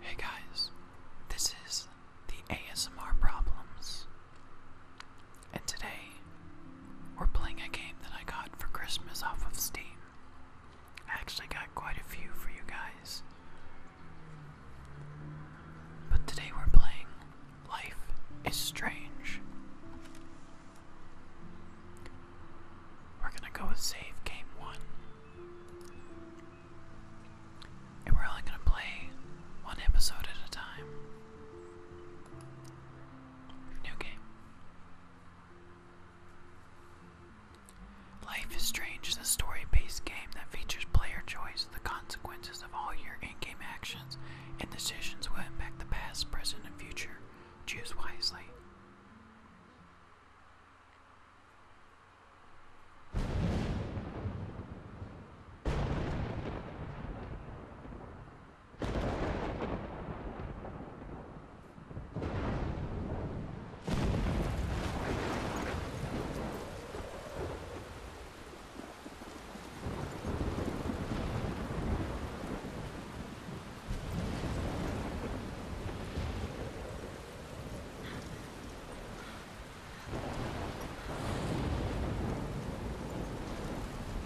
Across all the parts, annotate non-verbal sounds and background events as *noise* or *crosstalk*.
Hey guys, this is the ASMR Problems. And today, we're playing a game that I got for Christmas off of Steam. I actually got quite a few for you guys. But today we're playing Life is Strange. We're gonna go with save game one. And we're only gonna play one episode at a time. Life is Strange is a story based game that features player choice, the consequences of all your in game actions, and decisions will impact the past, present, and future. Choose wisely.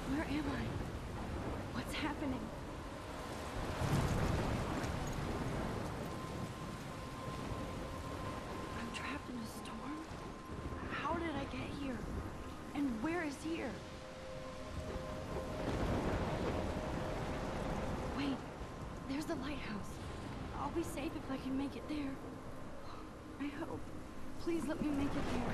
Where am I? What's happening? I'm trapped in a storm? How did I get here? And where is here? Wait, there's the lighthouse. I'll be safe if I can make it there. I hope. Please let me make it here.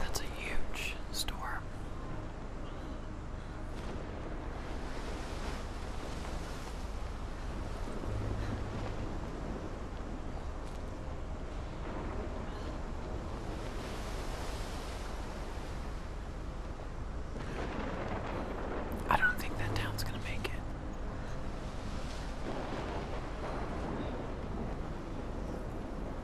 That's a huge storm. I don't think that town's gonna make it.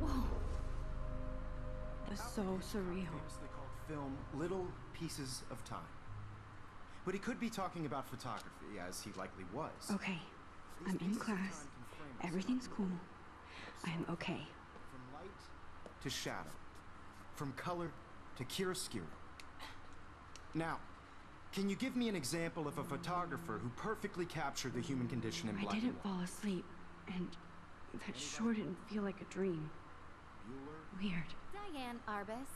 Whoa. That's so surreal. film Little Pieces of Time. But he could be talking about photography, as he likely was. Okay. I'm in class. Everything's cool. I am okay. From light to shadow. From color to chiaroscuro. Now, can you give me an example of a photographer who perfectly captured the human condition in black I didn't fall asleep, and that sure didn't feel like a dream. Weird. Diane Arbus.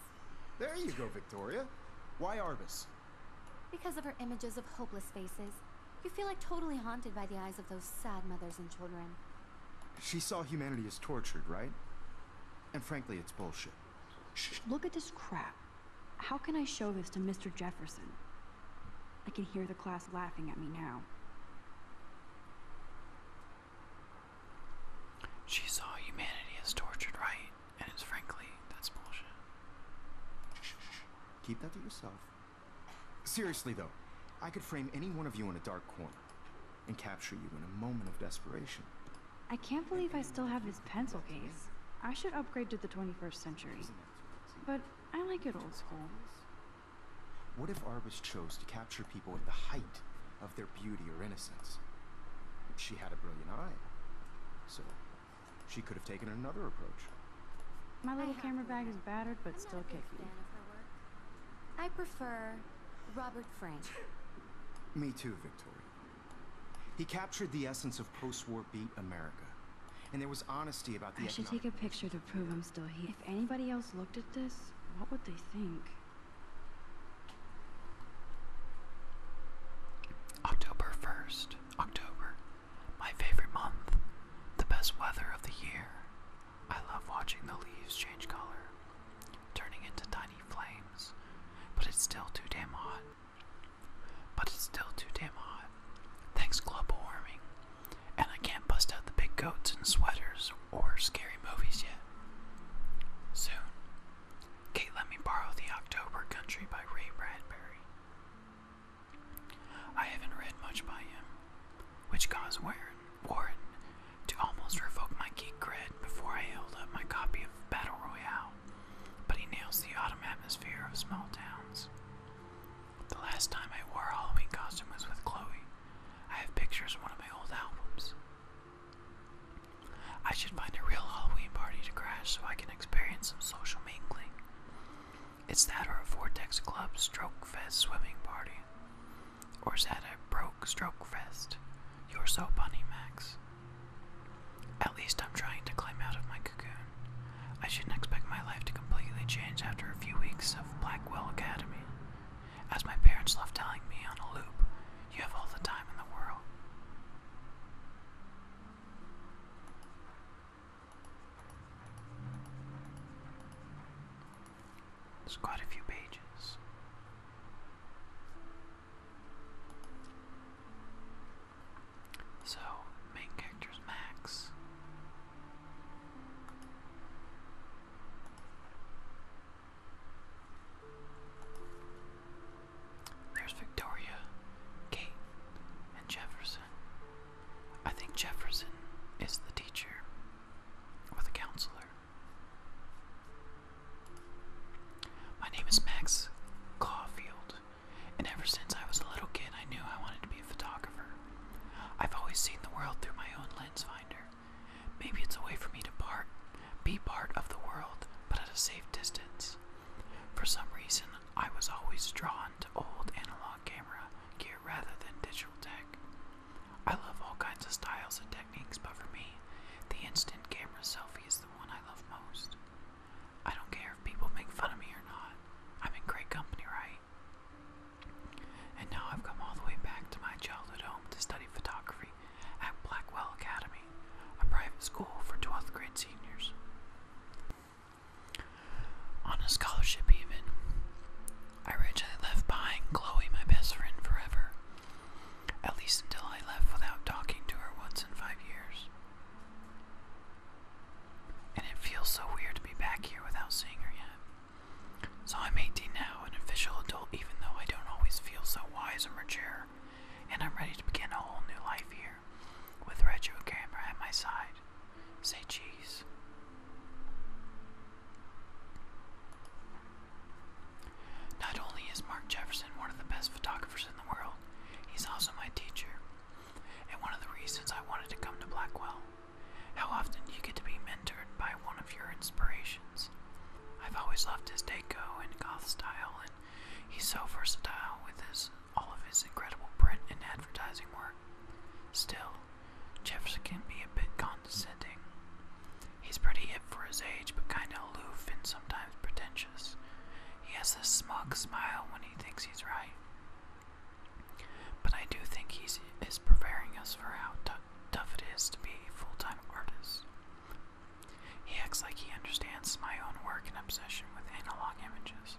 There you go, Victoria. Why Arbus? Because of her images of hopeless faces. You feel like totally haunted by the eyes of those sad mothers and children. She saw humanity as tortured, right? And frankly, it's bullshit. look at this crap. How can I show this to Mr. Jefferson? I can hear the class laughing at me now. She saw humanity as tortured, right? And it's frankly, that's bullshit. Keep that to yourself. Seriously, though, I could frame any one of you in a dark corner and capture you in a moment of desperation. I can't believe I still have this pencil case. I should upgrade to the 21st century. But I like it old school. What if Arbus chose to capture people at the height of their beauty or innocence? She had a brilliant eye. So she could have taken another approach. My little camera bag is battered but I'm still kicking. I prefer Robert Frank. Me too, Victoria. He captured the essence of post-war beat America and there was honesty about the I should take a picture to prove I'm still here. If anybody else looked at this, what would they think? October 1st. October. My favorite month. The best weather of the year. I love watching the leaves change color, turning into tiny flames, but it's still too damn hot. But it's still too damn hot. Thanks, global warming. And I can't bust out the big coats and sweaters or scary movies yet. Soon. Kate let me borrow The October Country by Ray Bradbury. I haven't read much by him, which caused Warren, to almost revoke my geek cred before I held up my copy of Battle Royale, but he nails the autumn atmosphere of small towns. The last time I wore a Halloween costume was with Chloe. I have pictures in one of my old albums. I should find a real Halloween party to crash so I can experience some social mingling. It's that or a Vortex Club Stroke Fest swimming party. Or is that a broke Stroke Fest? You're so bunny, Max. At least I'm trying to climb out of my cocoon. I shouldn't expect my life to completely change after a few weeks of Blackwell Academy. As my parents loved telling me on a loop, you have all the time in the world. There's quite a few pages. So, main character's Max. There's Victoria, Kate, and Jefferson. I think Jefferson is the teacher or the counselor. My name is Max Caulfield, and ever since I was a little kid, I knew I wanted to be a photographer. I've always seen the world through my own lens finder. Maybe it's a way for me to part, be part of the world, but at a safe distance. For some reason, I was always drawn to old analog camera gear rather than digital tech. I love all kinds of styles and techniques, but for me, the instant camera selfie is the one I love most. I don't care if people make fun of me or not. I'm in great company, right? And now I've come all the way back to my childhood home to study photography at Blackwell Academy, a private school for 12th grade seniors. On a scholarship, even, I originally left behind Chloe, my best friend, forever. At least until I left without talking to her once in five years. And it feels so weird to be back here without seeing her yet. So I'm 18 now, an official adult, even though I don't always feel so wise or mature, and I'm ready to begin a whole new life here, with retro camera at my side. Say cheese. Not only is Mark Jefferson one of the best photographers in the world, he's also my teacher, and one of the reasons I wanted to come to Blackwell. How often do you get to be mentored by one of your inspirations? I've always loved his deco and goth style, and he's so versatile with his all of his incredible print and advertising work. Still, Jeffs can be a bit condescending. He's pretty hip for his age, but kinda aloof and sometimes pretentious. He has this smug smile when he thinks he's right, but I do think he is preparing us for how tough it is to be a full time artist. He acts like he understands my own work and obsession with analog images.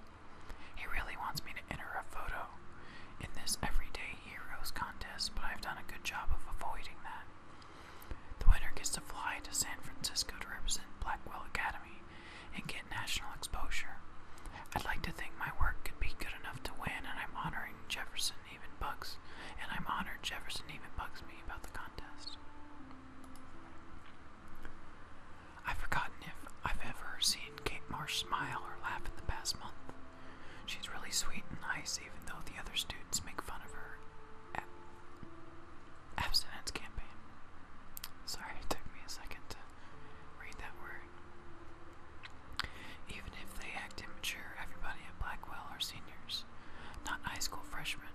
He really wants me to enter a photo in this Everyday Heroes contest, but I've done a good job of avoiding that. The winner gets to fly to San Francisco to represent Blackwell Academy and get national exposure. I'd like to think my work could be good enough to win, and I'm honoring Jefferson even bugs, and I'm honored Jefferson even bugs me about the contest. I've forgotten if I've ever seen Kate Marsh smile or laugh in the past month. She's really sweet and nice, even though the other students make fun of her abstinence campaign. Sorry, it took me a second read that word. Even if they act immature, everybody at Blackwell are seniors, not high school freshmen.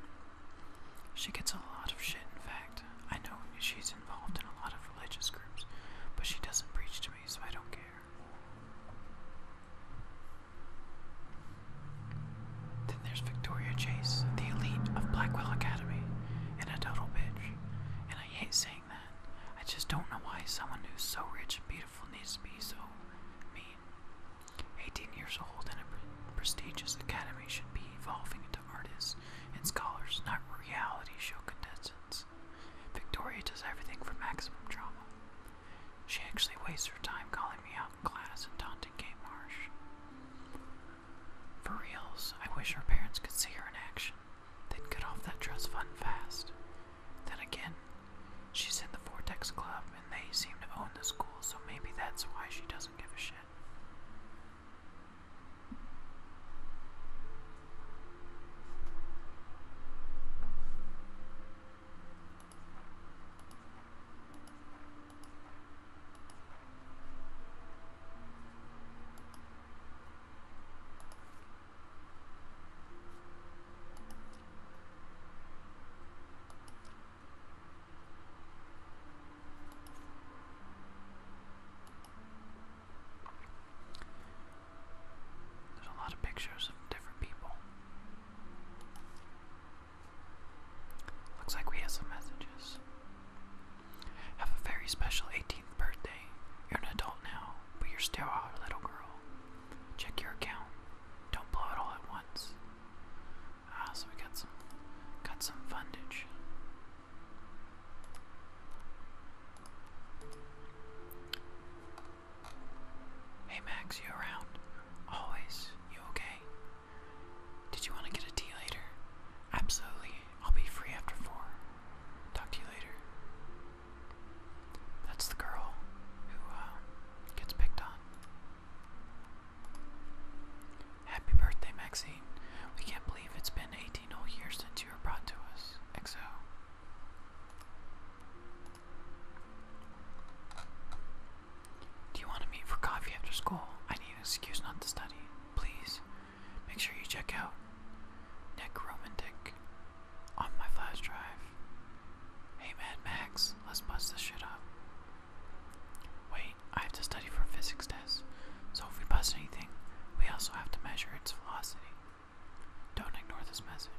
She gets a lot of shit, in fact. I know she's involved in a lot of religious groups, but she doesn't preach to me, so I don't care. Then there's Victoria Chase, the elite of Blackwell Academy, and a total bitch. And I hate saying I just don't know why someone who's so rich and beautiful needs to be so mean. 18 years old and a prestigious academy should be evolving into artists and scholars, not reality show contestants. Victoria does everything for maximum drama. She actually wastes her time calling me out in class and taunting Kate Marsh. For reals, I wish her parents could see her in action. Then cut off that dress fun fast. Then again, she's in the Vortex Club and they seem to own the school, so maybe that's why she doesn't give a shit. There's a lot of pictures of different people. Looks like we have some messages. Have a very special 18th birthday. You're an adult now, but you're still our little girl. Check your account. Don't blow it all at once. Ah, so we got some got some fundage. Hey Max, you around? Always. You okay? Did you want to get a tea later? Absolutely. I'll be free after four. Talk to you later. That's the girl who uh, gets picked on. Happy birthday, Maxine. We can't believe it's been 18 whole years since you were brought to us. EXO. Do you want to meet for coffee after school? I need an excuse not to study. Please. Make sure you check out Nick Necromantic on my flash drive. Hey Mad Max, let's bust this shit up. Wait, I have to study for a physics test, so if we bust anything, we also have to measure its velocity. Don't ignore this message.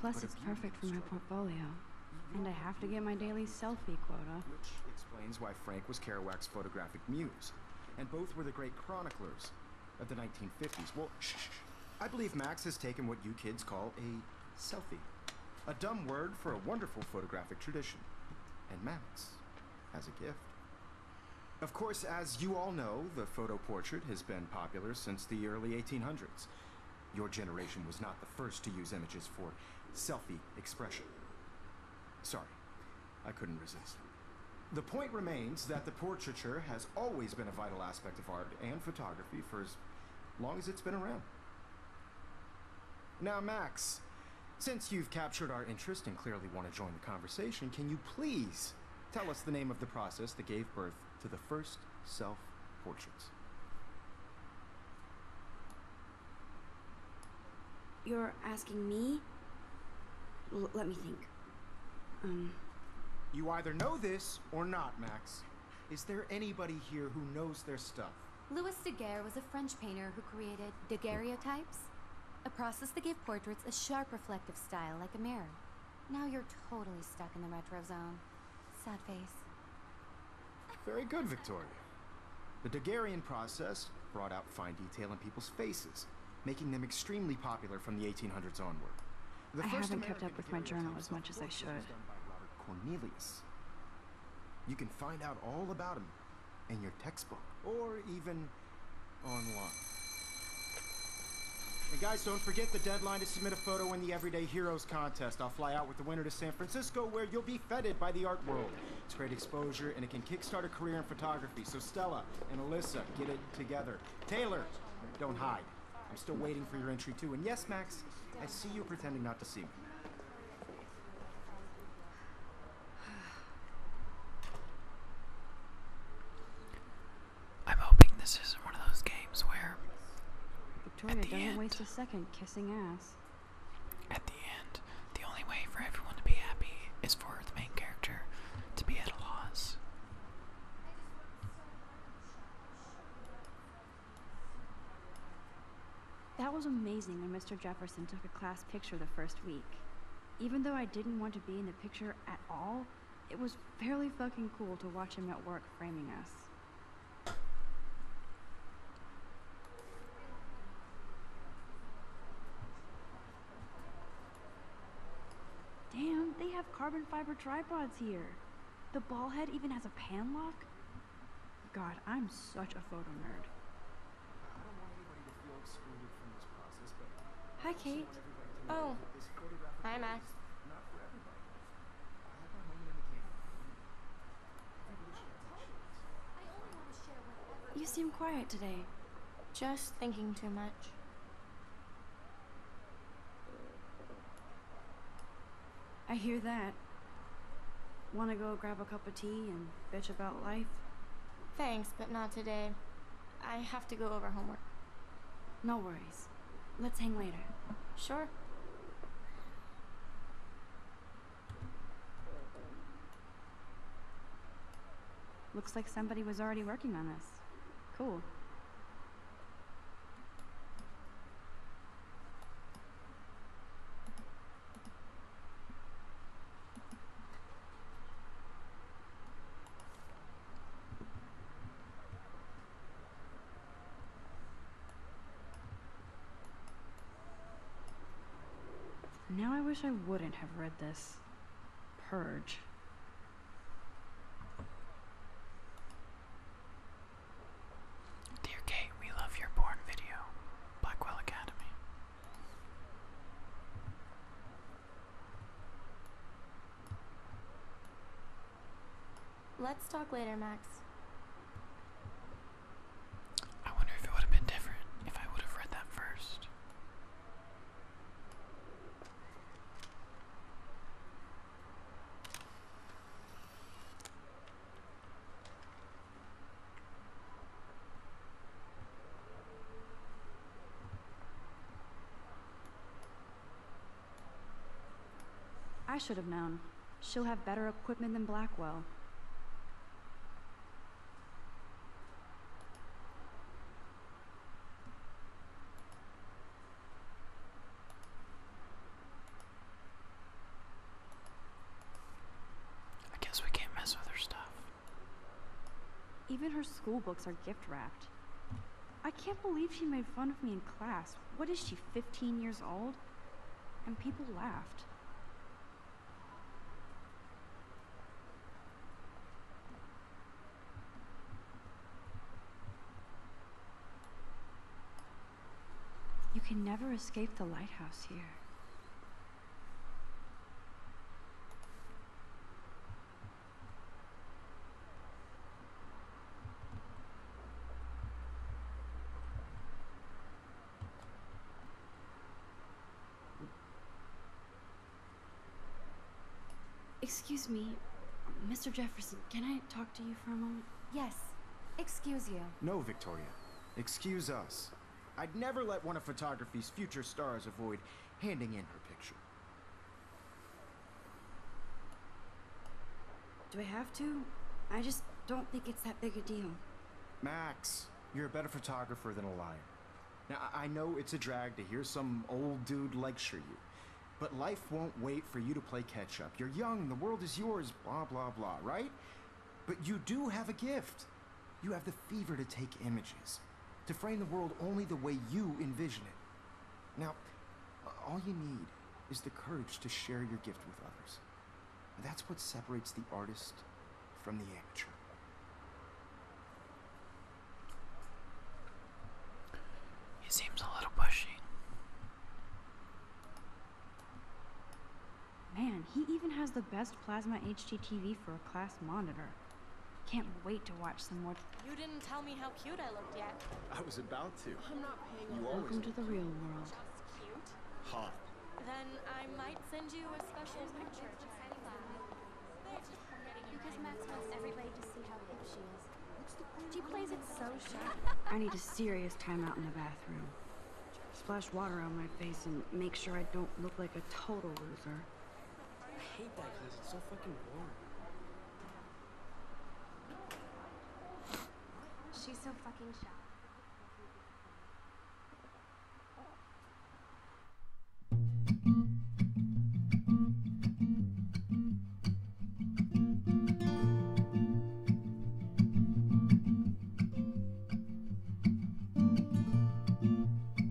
Plus, it's perfect for my portfolio. And I have to get my daily selfie quota. Which explains why Frank was Kerouac's photographic muse. And both were the great chroniclers of the 1950s. Well, shh, I believe Max has taken what you kids call a selfie. A dumb word for a wonderful photographic tradition. And Max has a gift. Of course, as you all know, the photo portrait has been popular since the early 1800s. Your generation was not the first to use images for selfie expression. Sorry, I couldn't resist. The point remains that the portraiture has always been a vital aspect of art and photography for as long as it's been around. Now, Max, since you've captured our interest and clearly want to join the conversation, can you please tell us the name of the process that gave birth to the first self portraits? You're asking me? let me think. Um. You either know this or not, Max. Is there anybody here who knows their stuff? Louis Daguerre was a French painter who created daguerreotypes, a process that gave portraits a sharp reflective style like a mirror. Now you're totally stuck in the retro zone. Sad face. Very good, Victoria. The Daguerrean process brought out fine detail in people's faces, making them extremely popular from the 1800s onward. I haven't kept up with my journal as much as I should. Cornelius. You can find out all about him in your textbook, or even online. And guys, don't forget the deadline to submit a photo in the Everyday Heroes contest. I'll fly out with the winner to San Francisco, where you'll be feted by the art world. It's great exposure, and it can kickstart a career in photography. So Stella and Alyssa, get it together. Taylor, don't hide. I'm still waiting for your entry, too. And yes, Max, I see you pretending not to see me. *sighs* I'm hoping this isn't one of those games where Victoria doesn't waste a second kissing ass. At the end, the only way for everyone to be happy is for the main character to be at a loss. That was amazing when Mr. Jefferson took a class picture the first week. Even though I didn't want to be in the picture at all, it was fairly fucking cool to watch him at work framing us. Damn, they have carbon fiber tripods here. The ball head even has a pan lock? God, I'm such a photo nerd. I don't want anybody to feel excluded from this process, but Hi Kate. Oh. Hi Max. Not for everybody. I have my moment in the you seem quiet today. Just thinking too much. I hear that. Wanna go grab a cup of tea and bitch about life? Thanks, but not today. I have to go over homework. No worries. Let's hang later. Sure. Looks like somebody was already working on this. Cool. Now I wish I wouldn't have read this. Purge. Dear Kate, we love your porn video. Blackwell Academy. Let's talk later, Max. I wonder if it would have been different if I would have read that first. I should have known. She'll have better equipment than Blackwell. I guess we can't mess with her stuff. Even her school books are gift wrapped. I can't believe she made fun of me in class. What is she, 15 years old? And people laughed. You can never escape the lighthouse here. Excuse me, Mr. Jefferson, can I talk to you for a moment? Yes. Excuse you. No, Victoria. Excuse us. I'd never let one of photography's future stars avoid handing in her picture. Do I have to? I just don't think it's that big a deal. Max, you're a better photographer than a liar. Now, I know it's a drag to hear some old dude lecture you, but life won't wait for you to play catch up. You're young, the world is yours, blah, blah, blah, right? But you do have a gift. You have the fever to take images, to frame the world only the way you envision it. Now, all you need is the courage to share your gift with others. That's what separates the artist from the amateur. He seems a little pushy. Man, he even has the best plasma HDTV for a class monitor. Can't wait to watch some more. You didn't tell me how cute I looked yet. I was about to. I'm not paying you. Welcome to the real world. Just cute. Hot. Then I might send you a special picture to hang Because Max wants everybody to see how hip she is. She plays it so sharp. I need a serious timeout in the bathroom. Splash water on my face and make sure I don't look like a total loser. I hate that place. It's so fucking boring. She's so fucking shy.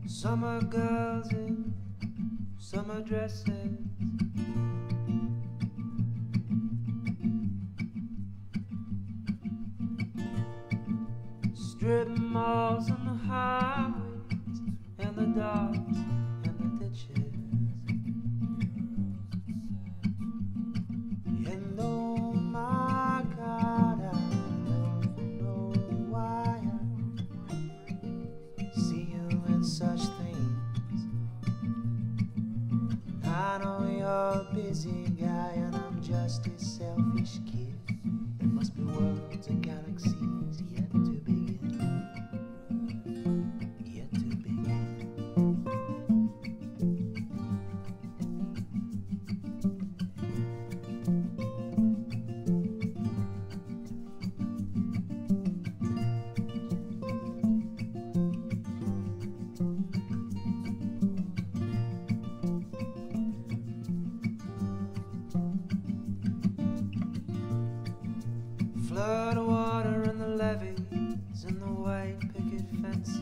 Summer girls in summer dresses Strip malls and the highways and the docks and the ditches. And oh my God, I don't know why I see you in such things. I know you're a busy guy and I'm just as selfish kiss. There must be worlds and galaxies yet to begin. Yet to begin. Flood water in the levees and the white picket fences.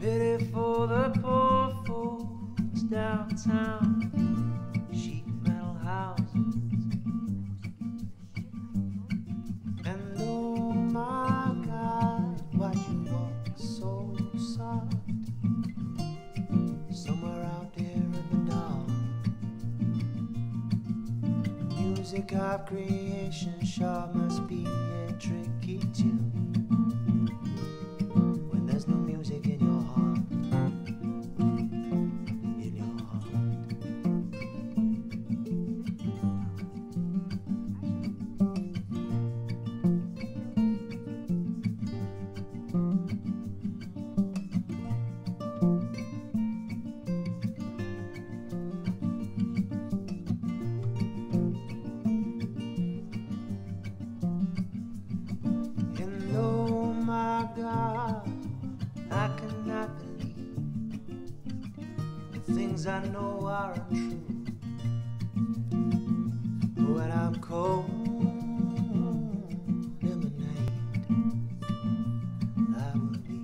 Pity for the poor fools downtown, sheet metal houses. And oh my God, why do you walk so soft? Somewhere out there in the dark, music of creation sure must be a tricky tune. When there's no music in your heart, in your heart. Oh my God, I cannot the things I know aren't true. But when I'm cold in the night, I will be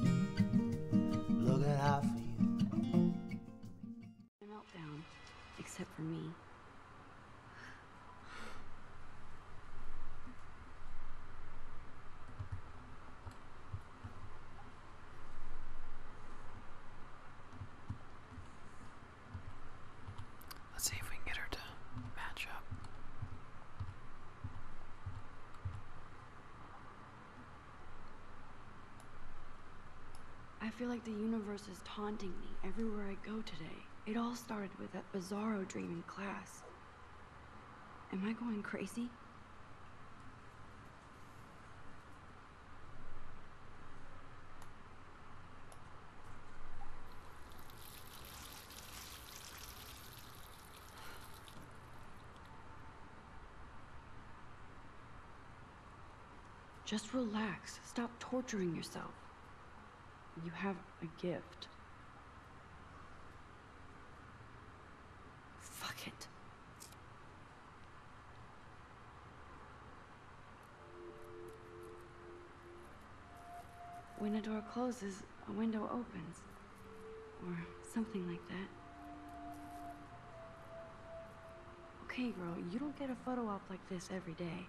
looking out for you. A meltdown, except for me. Let's see if we can get her to match up. I feel like the universe is taunting me everywhere I go today. It all started with that bizarro dream in class. Am I going crazy? Just relax. Stop torturing yourself. You have a gift. Fuck it. When a door closes, a window opens. Or something like that. Okay, girl, you don't get a photo op like this every day.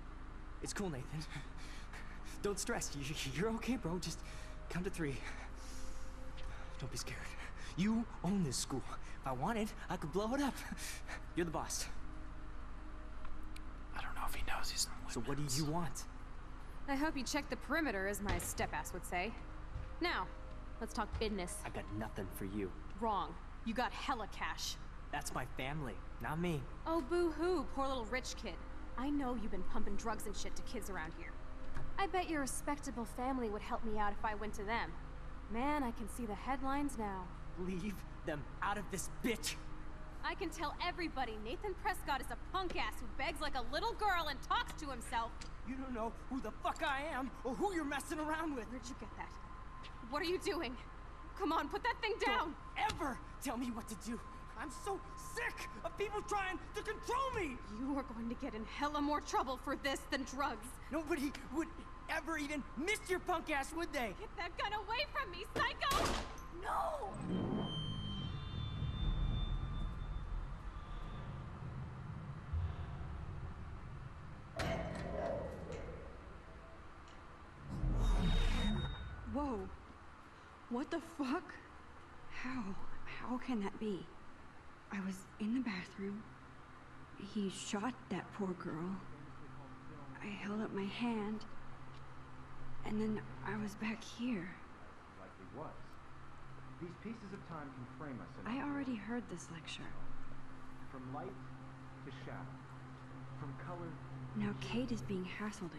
It's cool, Nathan. Don't stress. You're okay, bro. Just count to three. Don't be scared. You own this school. If I wanted, I could blow it up. You're the boss. I don't know if he knows he's in So what do you want? I hope you checked the perimeter, as my step-ass would say. Now, let's talk business. I got nothing for you. Wrong. You got hella cash. That's my family, not me. Oh, boo-hoo, poor little rich kid. I know you've been pumping drugs and shit to kids around here. I bet your respectable family would help me out if I went to them. Man, I can see the headlines now. Leave them out of this bitch! I can tell everybody Nathan Prescott is a punk ass who begs like a little girl and talks to himself. You don't know who the fuck I am or who you're messing around with. Where'd you get that? What are you doing? Come on, put that thing down! ever tell me what to do. I'm so sick of people trying to control me! You are going to get in hella more trouble for this than drugs. Nobody would ever even miss your punk ass, would they? Get that gun away from me, psycho! No! Whoa. What the fuck? How? How can that be? I was in the bathroom. He shot that poor girl. I held up my hand. And then I was back here. I already heard this lecture. From light to shadow. From color. Now Kate is being hassled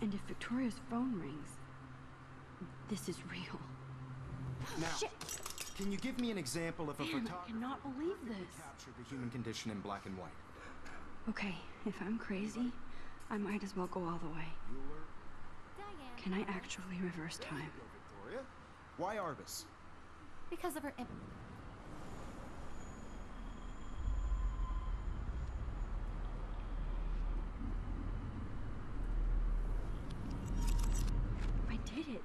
and if Victoria's phone rings, this is real. Now, can you give me an example of a Damn, photographer? I cannot believe this. Captured the human condition in black and white. Okay, if I'm crazy, I might as well go all the way. Can I actually reverse time? Why Arbus? because of her I did it.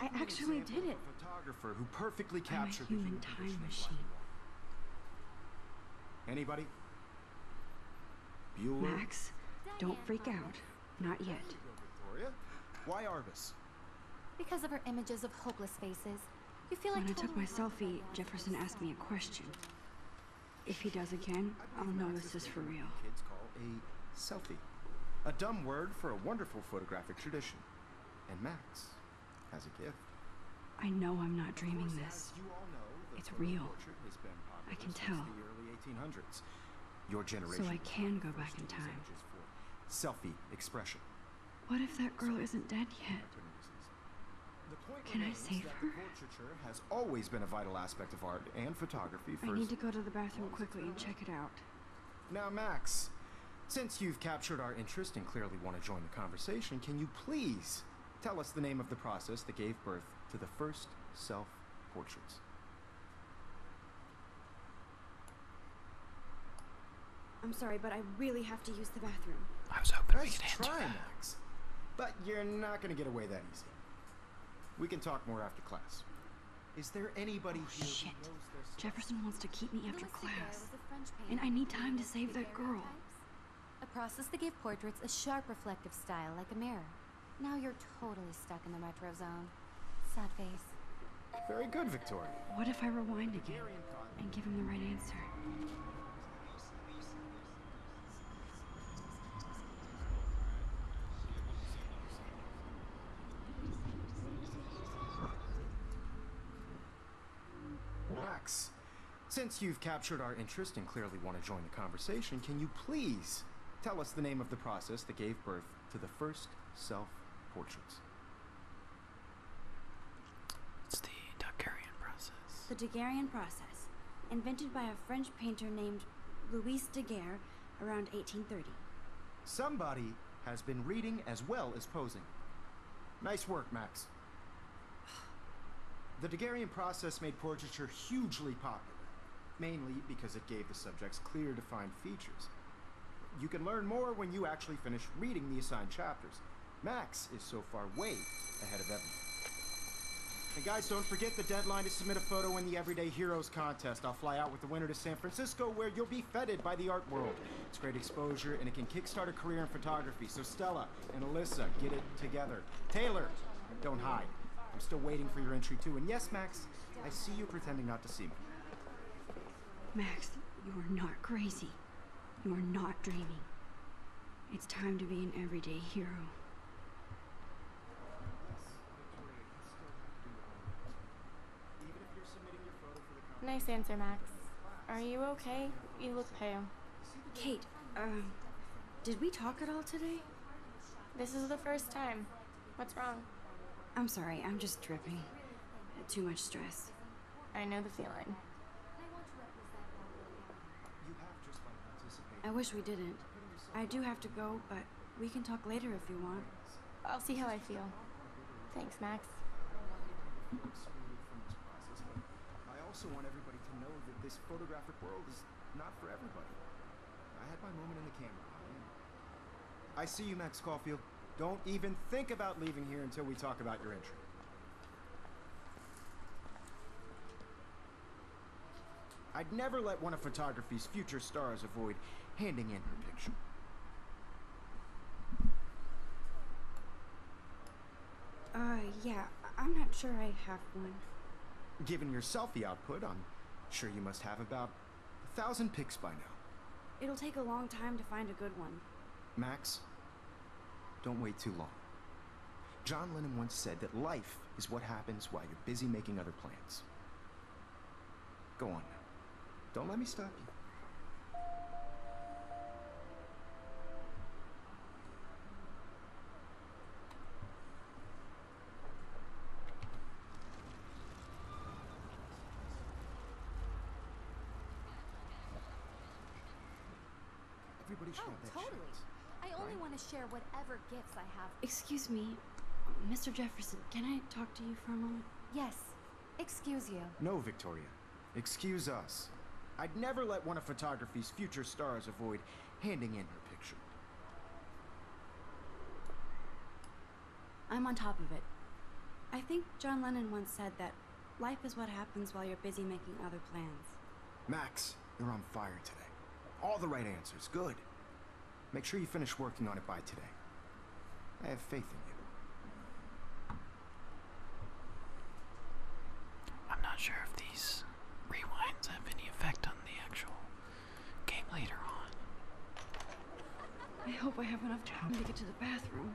I actually did it. Photographer who perfectly captured I'm a human time machine. Anybody? Max, don't freak out. Not yet. Victoria. Why Arbus? Because of her images of hopeless faces, you feel like When I took my selfie, Jefferson asked me a question. If he does again, I'll know this is for real. Kids call a selfie. A dumb word for a wonderful photographic tradition. And Max has a gift. I know I'm not dreaming this. It's real. I can tell. Your generation. So I can go back in time. Selfie expression. What if that girl isn't dead yet? Can I save her? Portraiture has always been a vital aspect of art and photography. I need to go to the bathroom quickly and check it out. Now, Max, since you've captured our interest and clearly want to join the conversation, can you please tell us the name of the process that gave birth to the first self-portraits? I'm sorry, but I really have to use the bathroom. I was hoping I could answer try, Max. But you're not going to get away that easy. We can talk more after class. Is there anybody oh, shit. Jefferson wants to keep me after class, and I need time to save that girl. A process that gave portraits a sharp reflective style like a mirror. Now you're totally stuck in the retro zone. Sad face. Very good, Victoria. What if I rewind again and give him the right answer? Relax. Since you've captured our interest and clearly want to join the conversation, can you please tell us the name of the process that gave birth to the first self-portraits? It's the Daguerrean process. The Daguerrean process, invented by a French painter named Louis Daguerre around 1830. Somebody has been reading as well as posing. Nice work, Max. The Daguerrean process made portraiture hugely popular, mainly because it gave the subjects clear defined features, you can learn more when you actually finish reading the assigned chapters. Max is so far way ahead of everyone. And guys, don't forget the deadline to submit a photo in the Everyday Heroes contest. I'll fly out with the winner to San Francisco where you'll be feted by the art world. It's great exposure and it can kickstart a career in photography. So Stella and Alyssa, get it together. Taylor, don't hide. I'm still waiting for your entry too. And yes, Max, I see you pretending not to see me. Max, you are not crazy. You are not dreaming. It's time to be an everyday hero. Nice answer, Max. Are you okay? You look pale. Kate, um, did we talk at all today? This is the first time. What's wrong? I'm sorry, I'm just dripping. Too much stress. I know the feeling. I wish we didn't. I do have to go, but we can talk later if you want. I'll see how I feel. Thanks, Max. I also want everybody to know that this photographic world is not for everybody. I had my moment in the camera. I see you, Max Caulfield. Don't even think about leaving here until we talk about your entry. I'd never let one of photography's future stars avoid handing in her picture. Uh, yeah, I'm not sure I have one. Given your selfie output, I'm sure you must have about a thousand pics by now. It'll take a long time to find a good one. Max, don't wait too long. John Lennon once said that life is what happens while you're busy making other plans. Go on Don't let me stop you. Oh, totally. I only want to share whatever gifts I have. Excuse me, Mr. Jefferson, can I talk to you for a moment? Yes. Excuse you. No, Victoria. Excuse us. I'd never let one of photography's future stars avoid handing in her picture. I'm on top of it. I think John Lennon once said that life is what happens while you're busy making other plans. Max, you're on fire today. All the right answers, good. Make sure you finish working on it by today. I have faith in you. I'm not sure if these rewinds have any effect on the actual game later on. I hope I have enough time to get to the bathroom.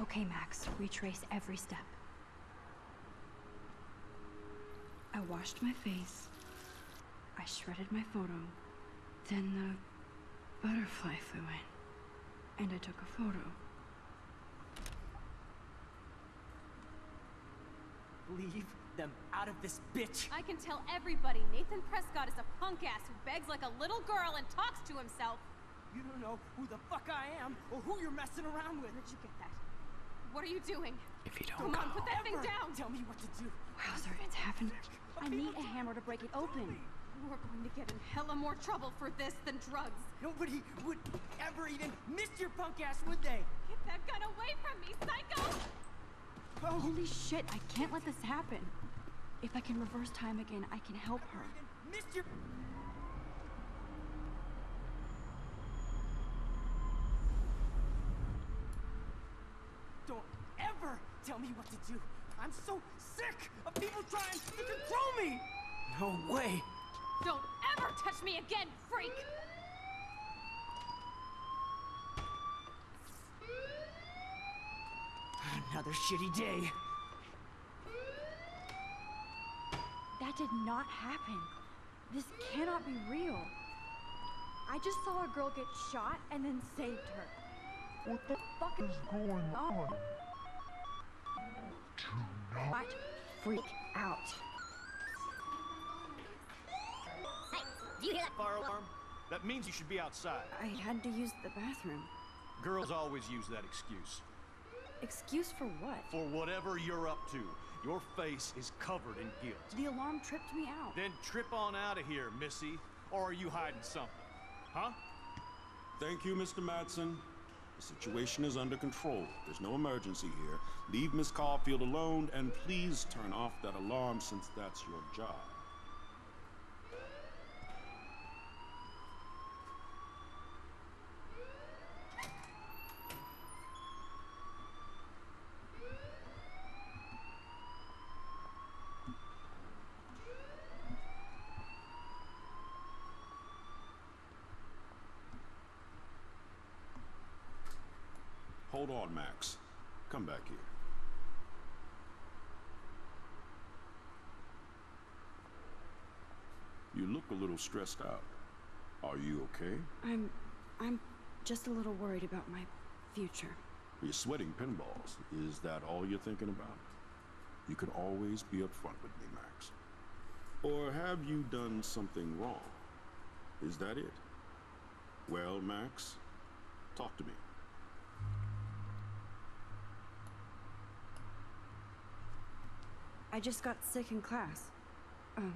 Okay, Max, retrace every step. I washed my face. I shredded my photo. Then the butterfly flew in. And I took a photo. Leave them out of this bitch. I can tell everybody Nathan Prescott is a punk ass who begs like a little girl and talks to himself. You don't know who the fuck I am or who you're messing around with. Where'd you get that? What are you doing? If you don't Come on, put that thing down! Tell me what to do. Wowzer, it's happened. I need a hammer to break it open. We're going to get in hella more trouble for this than drugs. Nobody would ever even miss your punk ass, would they? Get that gun away from me, psycho! Holy shit, I can't let this happen. If I can reverse time again, I can help her. Don't ever tell me what to do. I'm so sick of people trying to control me! No way! Don't ever touch me again, freak! Another shitty day. That did not happen. This cannot be real. I just saw a girl get shot and then saved her. What the fuck is going on? Do not freak out. Hey, do you hear that fire alarm? That means you should be outside. I had to use the bathroom. Girls always use that excuse. Excuse for what? For whatever you're up to. Your face is covered in guilt. The alarm tripped me out. Then trip on out of here, Missy. Or are you hiding something? Huh? Thank you, Mr. Madsen. The situation is under control. There's no emergency here. Leave Miss Caulfield alone, and please turn off that alarm since that's your job. Hold on, Max. Come back here. You look a little stressed out. Are you okay? I'm... I'm just a little worried about my future. You're sweating pinballs. Is that all you're thinking about? You can always be upfront with me, Max. Or have you done something wrong? Is that it? Well, Max, talk to me. I just got sick in class. Um,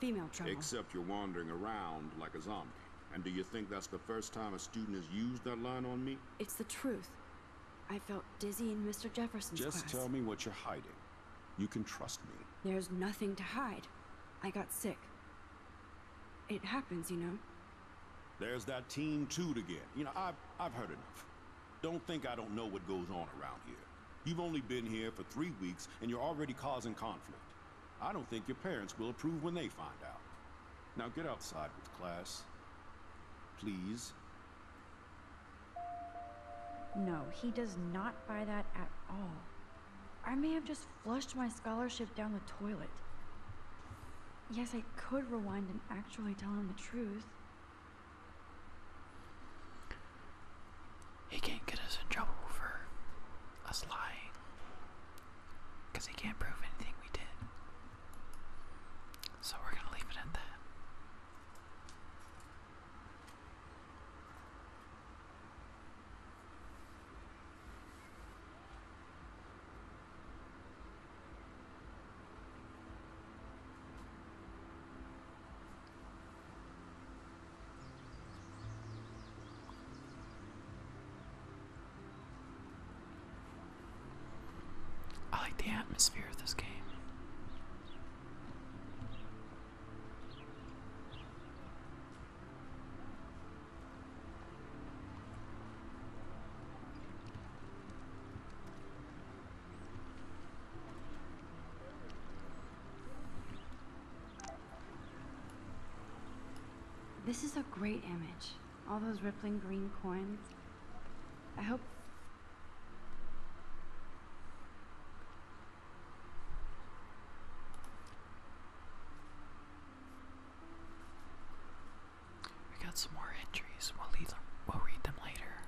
female trouble. Except you're wandering around like a zombie. And do you think that's the first time a student has used that line on me? It's the truth. I felt dizzy in Mr. Jefferson's class. Just tell me what you're hiding. You can trust me. There's nothing to hide. I got sick. It happens, you know. There's that Team 2 again. You know, I've, I've heard enough. Don't think I don't know what goes on around here. You've only been here for three weeks, and you're already causing conflict. I don't think your parents will approve when they find out. Now get outside with class. Please. No, he does not buy that at all. I may have just just flushed my scholarship down the toilet. Yes, I could rewind and actually tell him the truth. He can't get us in trouble for us lying. Because he can't prove anything we did. So we're going to leave it at that. I like the atmosphere of this game. This is a great image. All those rippling green coins. I hope we got some more entries. We'll read them later.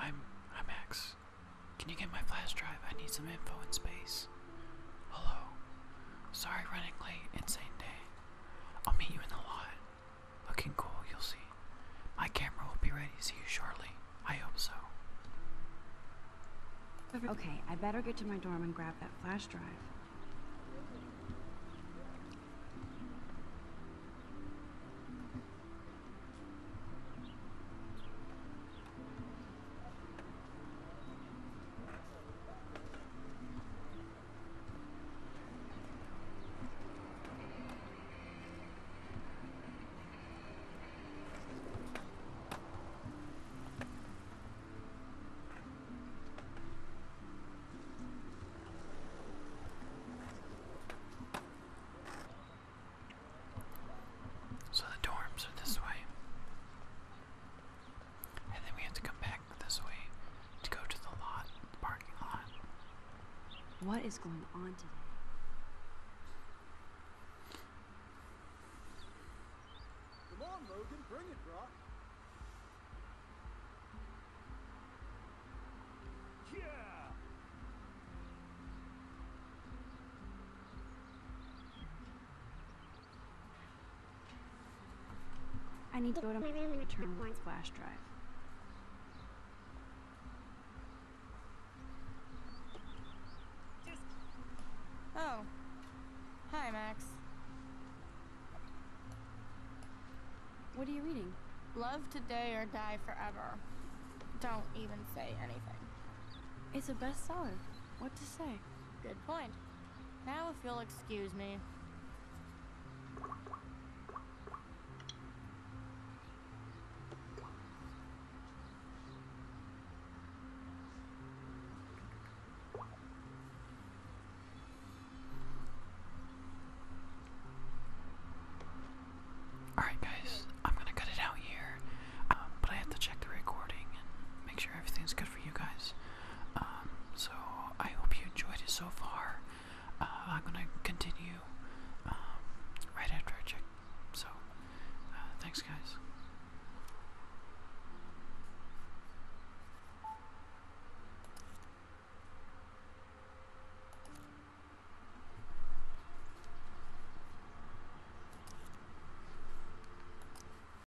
I'm I'm Max. Can you get my flash drive? I need some info in space. Hello. Sorry running late, insane day. I'll meet you in the lot. Looking cool, you'll see. My camera will be ready to see you shortly. I hope so. Okay, I better get to my dorm and grab that flash drive. So the dorms are this way. And then we have to come back this way to go to the lot, parking lot. What is going on today? Come on, Logan, bring it, Brock. Yeah. I need to go to my room return one flash drive. Oh. Hi, Max. What are you reading? Love Today or Die Forever. Don't even say anything. It's a bestseller. What to say? Good point. Now if you'll excuse me. Alright, guys, I'm gonna cut it out here, um, but I have to check the recording and make sure everything's good for you guys. Um, so I hope you enjoyed it so far. Uh, I'm gonna continue um, right after I check. So uh, thanks, guys.